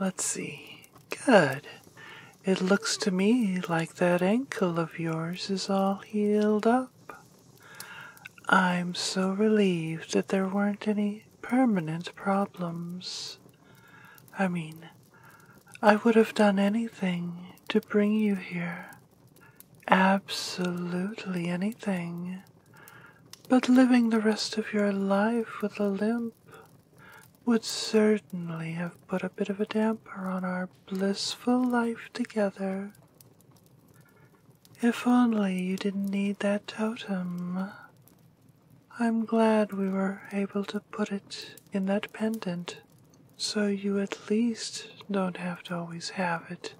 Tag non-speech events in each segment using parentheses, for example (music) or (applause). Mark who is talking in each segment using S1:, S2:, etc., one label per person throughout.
S1: Let's see. Good. It looks to me like that ankle of yours is all healed up. I'm so relieved that there weren't any permanent problems. I mean, I would have done anything to bring you here, absolutely anything but living the rest of your life with a limp would certainly have put a bit of a damper on our blissful life together. If only you didn't need that totem. I'm glad we were able to put it in that pendant so you at least don't have to always have it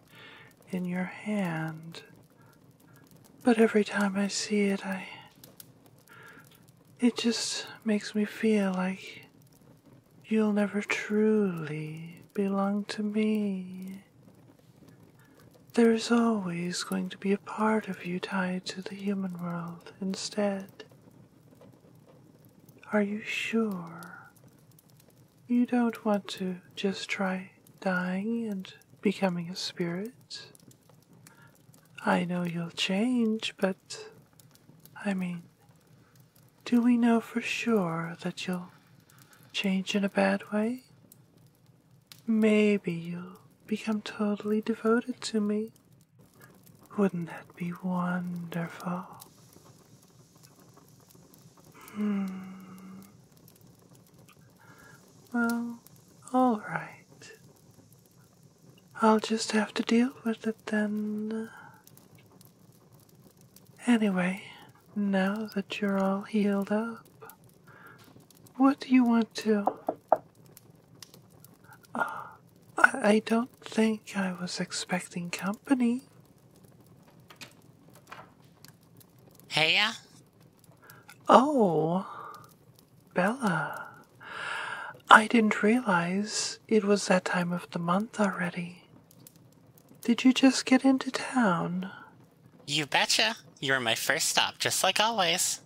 S1: in your hand. But every time I see it, I. It just makes me feel like you'll never truly belong to me. There is always going to be a part of you tied to the human world instead. Are you sure you don't want to just try dying and becoming a spirit. I know you'll change, but I mean, do we know for sure that you'll change in a bad way? Maybe you'll become totally devoted to me. Wouldn't that be wonderful? Hmm. Well, all right. I'll just have to deal with it then. Anyway, now that you're all healed up, what do you want to? Ah, I, don't think I was expecting company. Heya? Oh, Bella. I didn't realize it was that time of the month already. Did you just get into town?
S2: You betcha. You were my first stop, just like always.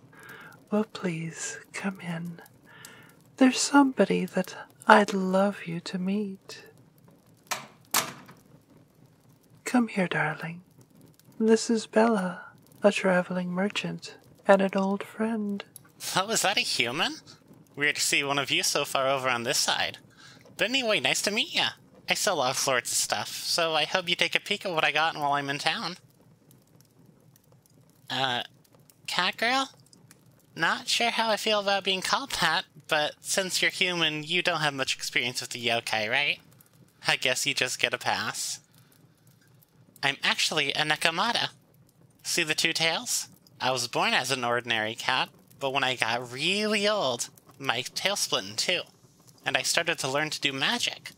S1: Well, please, come in. There's somebody that I'd love you to meet. Come here, darling. This is Bella, a traveling merchant and an old friend.
S2: Oh, is that a human? Weird to see one of you so far over on this side. But anyway, nice to meet ya. I sell all sorts of stuff, so I hope you take a peek at what I got while I'm in town. Uh, cat girl, Not sure how I feel about being called that, but since you're human, you don't have much experience with the yokai, right? I guess you just get a pass. I'm actually a Nakamata. See the two tails? I was born as an ordinary cat, but when I got really old, my tail split in two, and I started to learn to do magic.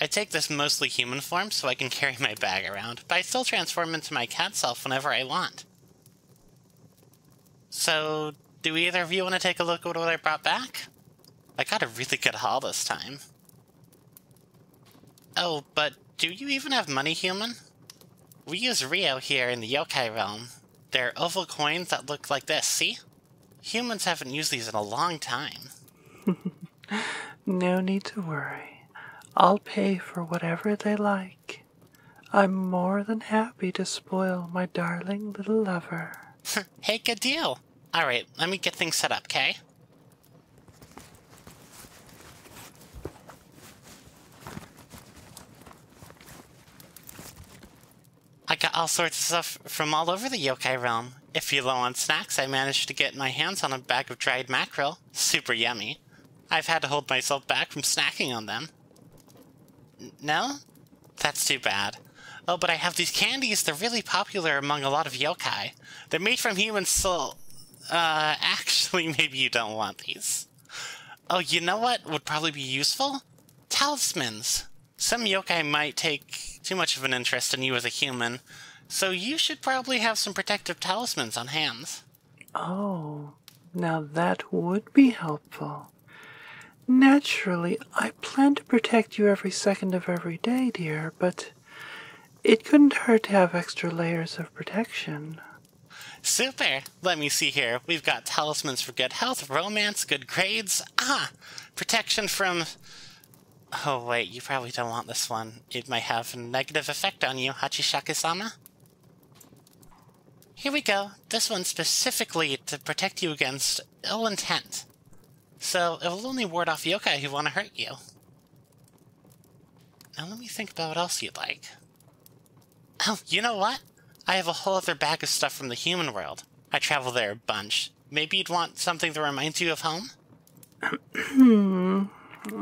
S2: I take this mostly human form so I can carry my bag around but I still transform into my cat self whenever I want. So, do either of you want to take a look at what I brought back? I got a really good haul this time. Oh, but do you even have money, human? We use Ryo here in the yokai realm. They're oval coins that look like this, see? Humans haven't used these in a long time.
S1: (laughs) No need to worry. I'll pay for whatever they like. I'm more than happy to spoil my darling little lover.
S2: Hmm, hey, good deal. All right, let me get things set up, kay? I got all sorts of stuff from all over the yokai realm. If you're low on snacks, I managed to get my hands on a bag of dried mackerel. Super yummy. I've had to hold myself back from snacking on them. no? That's too bad. Oh, but I have these candies. They're really popular among a lot of yokai. They're made from human soul. Uh, actually, (laughs) maybe you don't want these. Oh, you know what would probably be useful? Talismans. Some yokai might take too much of an interest in you as a human, so you should probably have some protective talismans on hands.
S1: Oh, now that would be helpful. Naturally, I plan to protect you every second of every day, dear, but it couldn't hurt to have extra layers of protection.
S2: Super! Let me see here. We've got talismans for good health, romance, good grades. Ah! Protection from Oh wait, you probably don't want this one. It might have a negative effect on you, Hachishaka-sama. Here we go. This one specifically to protect you against ill intent. So, it will only ward off yokai who want to hurt you. Now let me think about what else you'd like. Oh, you know what? I have a whole other bag of stuff from the human world. I travel there a bunch. Maybe you'd want something that reminds you of home?
S1: Hmm.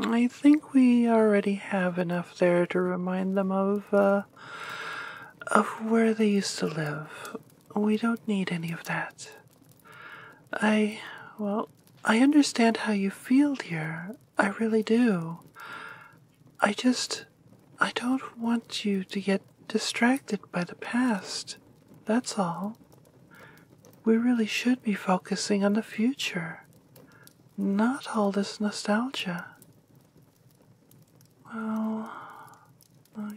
S1: I think we already have enough there to remind them of, uh, of where they used to live. We don't need any of that. I, well, I understand how you feel, dear. I really do. I just, I don't want you to get distracted by the past. That's all. We really should be focusing on the future, not all this nostalgia. Well,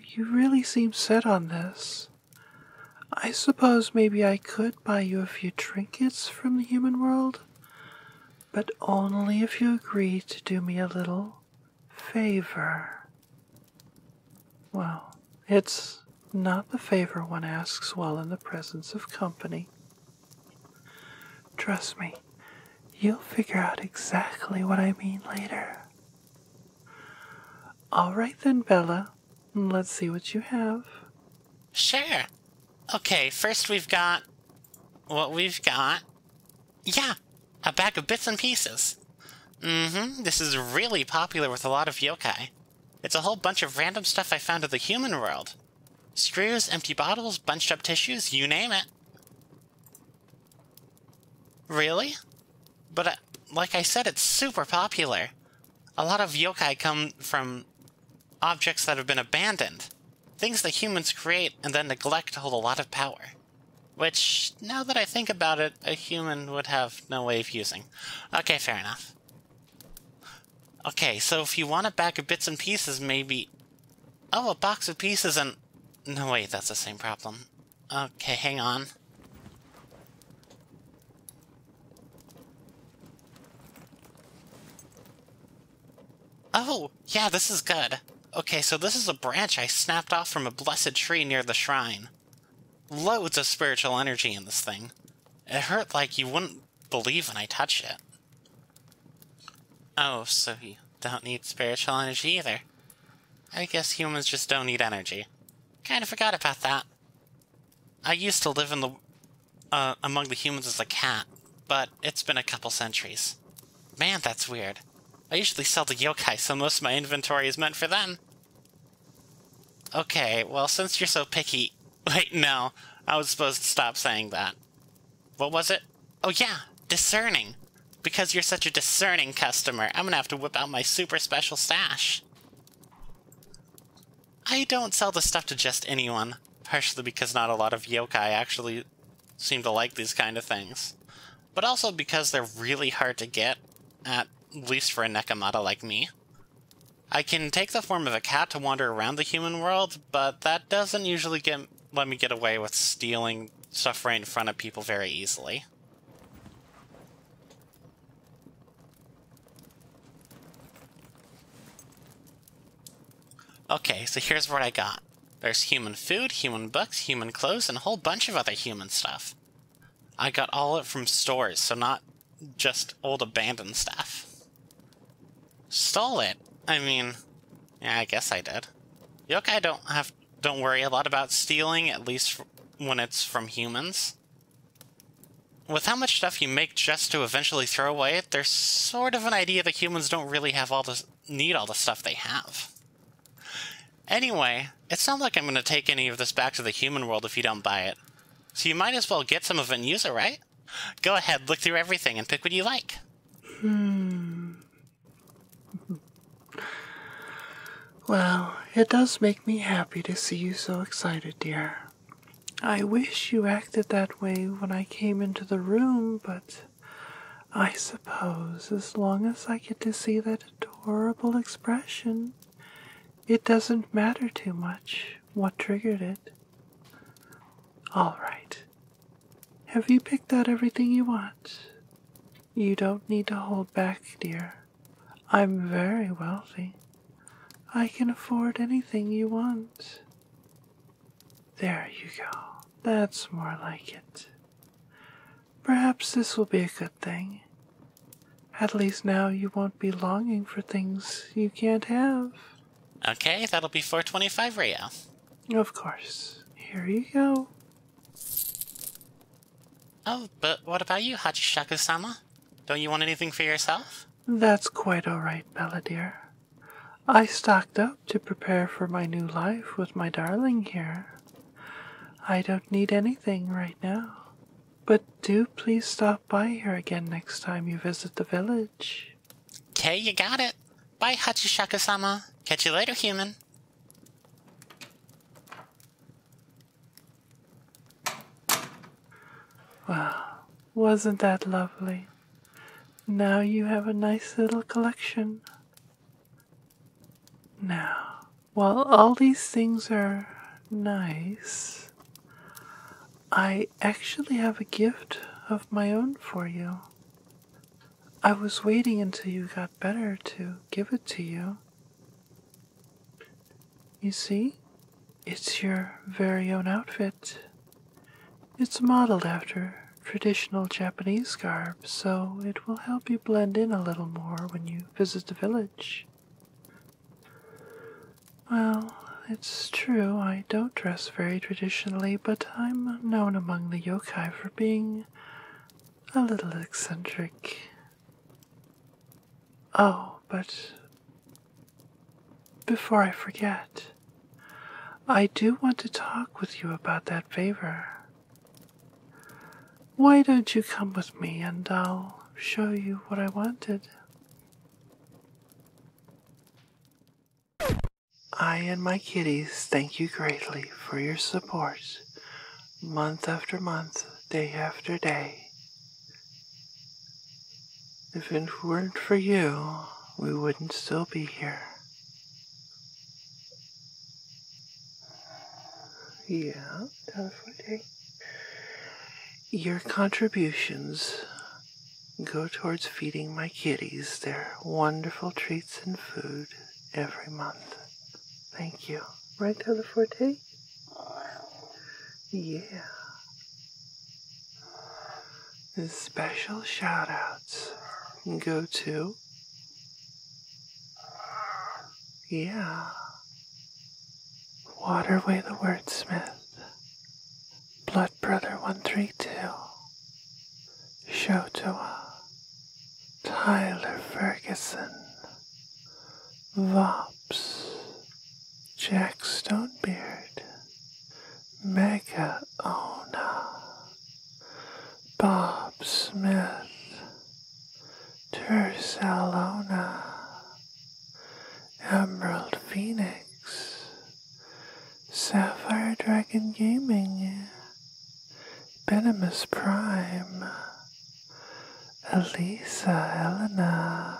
S1: you really seem set on this. I suppose maybe I could buy you a few trinkets from the human world, but only if you agree to do me a little favor. Well, it's not the favor one asks while in the presence of company. Trust me, you'll figure out exactly what I mean later. All right then, Bella. Let's see what you have.
S2: Share. Okay, first we've got what we've got. Yeah, a bag of bits and pieces. Mm-hmm, this is really popular with a lot of yokai. It's a whole bunch of random stuff I found in the human world. Screws, empty bottles, bunched up tissues, you name it. Really? But uh, like I said, it's super popular. A lot of yokai come from objects that have been abandoned. Things that humans create and then neglect hold a lot of power. Which, now that I think about it, a human would have no way of using. Okay, fair enough. Okay, so if you want a bag of bits and pieces, maybe... Oh, a box of pieces and... No, wait, that's the same problem. Okay, hang on. Oh, yeah, this is good. Okay, so this is a branch I snapped off from a blessed tree near the shrine loads of spiritual energy in this thing. It hurt like you wouldn't believe when I touched it. Oh, so you don't need spiritual energy either. I guess humans just don't need energy. Kinda forgot about that. I used to live in the uh, among the humans as a cat, but it's been a couple centuries. Man, that's weird. I usually sell to yokai, so most of my inventory is meant for them. Okay, well, since you're so picky... (laughs) Wait, no. I was supposed to stop saying that. What was it? Oh, yeah, discerning. Because you're such a discerning customer, I'm gonna have to whip out my super special stash. I don't sell this stuff to just anyone, partially because not a lot of yokai actually seem to like these kind of things, but also because they're really hard to get at at least for a Nekomata like me. I can take the form of a cat to wander around the human world, but that doesn't usually get, let me get away with stealing stuff right in front of people very easily. Okay, so here's what I got. There's human food, human books, human clothes, and a whole bunch of other human stuff. I got all it from stores, so not just old abandoned stuff. Stole it? I mean, yeah, I guess I did. I don't have don't worry a lot about stealing, at least when it's from humans. With how much stuff you make just to eventually throw away, there's sort of an idea that humans don't really have all the need all the stuff they have. Anyway, it's not like I'm going to take any of this back to the human world if you don't buy it. So you might as well get some of it and use it, right? Go ahead, look through everything and pick what you like.
S1: Hmm. Well, it does make me happy to see you so excited, dear. I wish you acted that way when I came into the room, but I suppose as long as I get to see that adorable expression. It doesn't matter too much what triggered it. All right. Have you picked out everything you want? You don't need to hold back, dear. I'm very wealthy. I can afford anything you want. There you go. That's more like it. Perhaps this will be a good thing. At least now you won't be longing for things you can't have.
S2: Okay, that'll be 425 Rio.
S1: Of course. Here you go.
S2: Oh, but what about you, Hachishaku-sama? Don't you want anything for yourself?
S1: That's quite all right, Bella dear. I stocked up to prepare for my new life with my darling here. I don't need anything right now. But do please stop by here again next time you visit the village.
S2: Okay, you got it. Bye, Hachishaka-sama. Catch you later, human.
S1: Wow, wasn't that lovely? Now you have a nice little collection. Now, while all these things are nice, I actually have a gift of my own for you. I was waiting until you got better to give it to you. You see, it's your very own outfit. It's modeled after traditional Japanese garb so it will help you blend in a little more when you visit the village. Well, it's true I don't dress very traditionally, but I'm known among the yokai for being a little eccentric. Oh, but before I forget, I do want to talk with you about that favor. Why don't you come with me and I'll show you what I wanted? I and my kitties thank you greatly for your support, month after month, day after day. If it weren't for you, we wouldn't still be here. Yeah, definitely. Your contributions go towards feeding my kitties their wonderful treats and food every month. Thank you. Right, Teleforte? Yeah. special shout outs go to yeah. Waterway the Wordsmith. Blood Brother 132. Shotoa. Tyler Ferguson. Vops. Jack Stonebeard. Mega Ona. Bob Smith, Tursalona, Emerald Phoenix, Sapphire Dragon Gaming, Venomous Prime, Elisa Elena,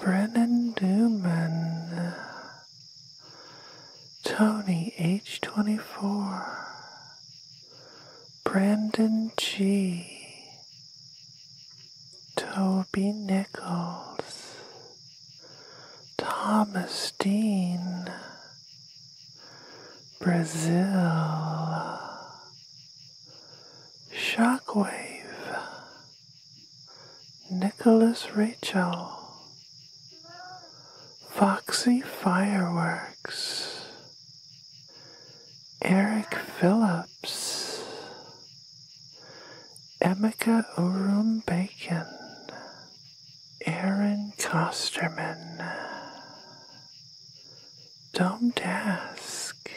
S1: Brennan Dooman, Tony H24, Brandon G, Toby Nichols, Thomas Dean, Brazil, Shockwave, Nicholas Rachel. Foxy Fireworks, Eric Phillips, Emeka Urum Bacon, Aaron Costerman, Dom Task,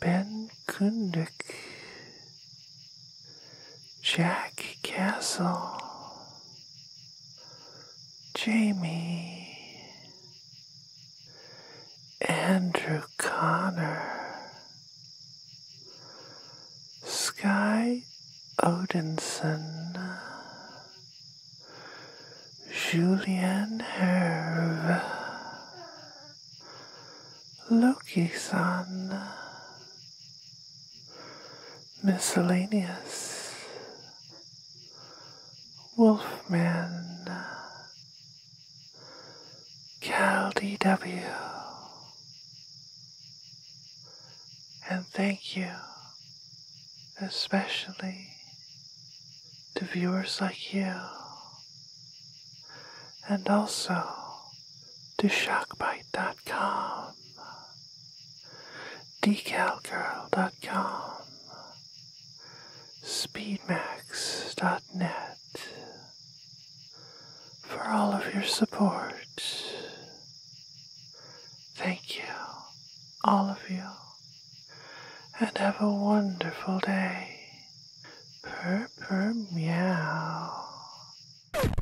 S1: Ben Kundik, Jack Castle, Jamie, Andrew Connor, Sky Odinson, Julian Herve, Loki Son miscellaneous, Wolfman, CalDW, and thank you especially to viewers like you, and also to shockbite.com. DecalGirl.com, DecalGirl.com, for all of your support. Thank you, all of you, and have a wonderful day. Purr, purr, meow.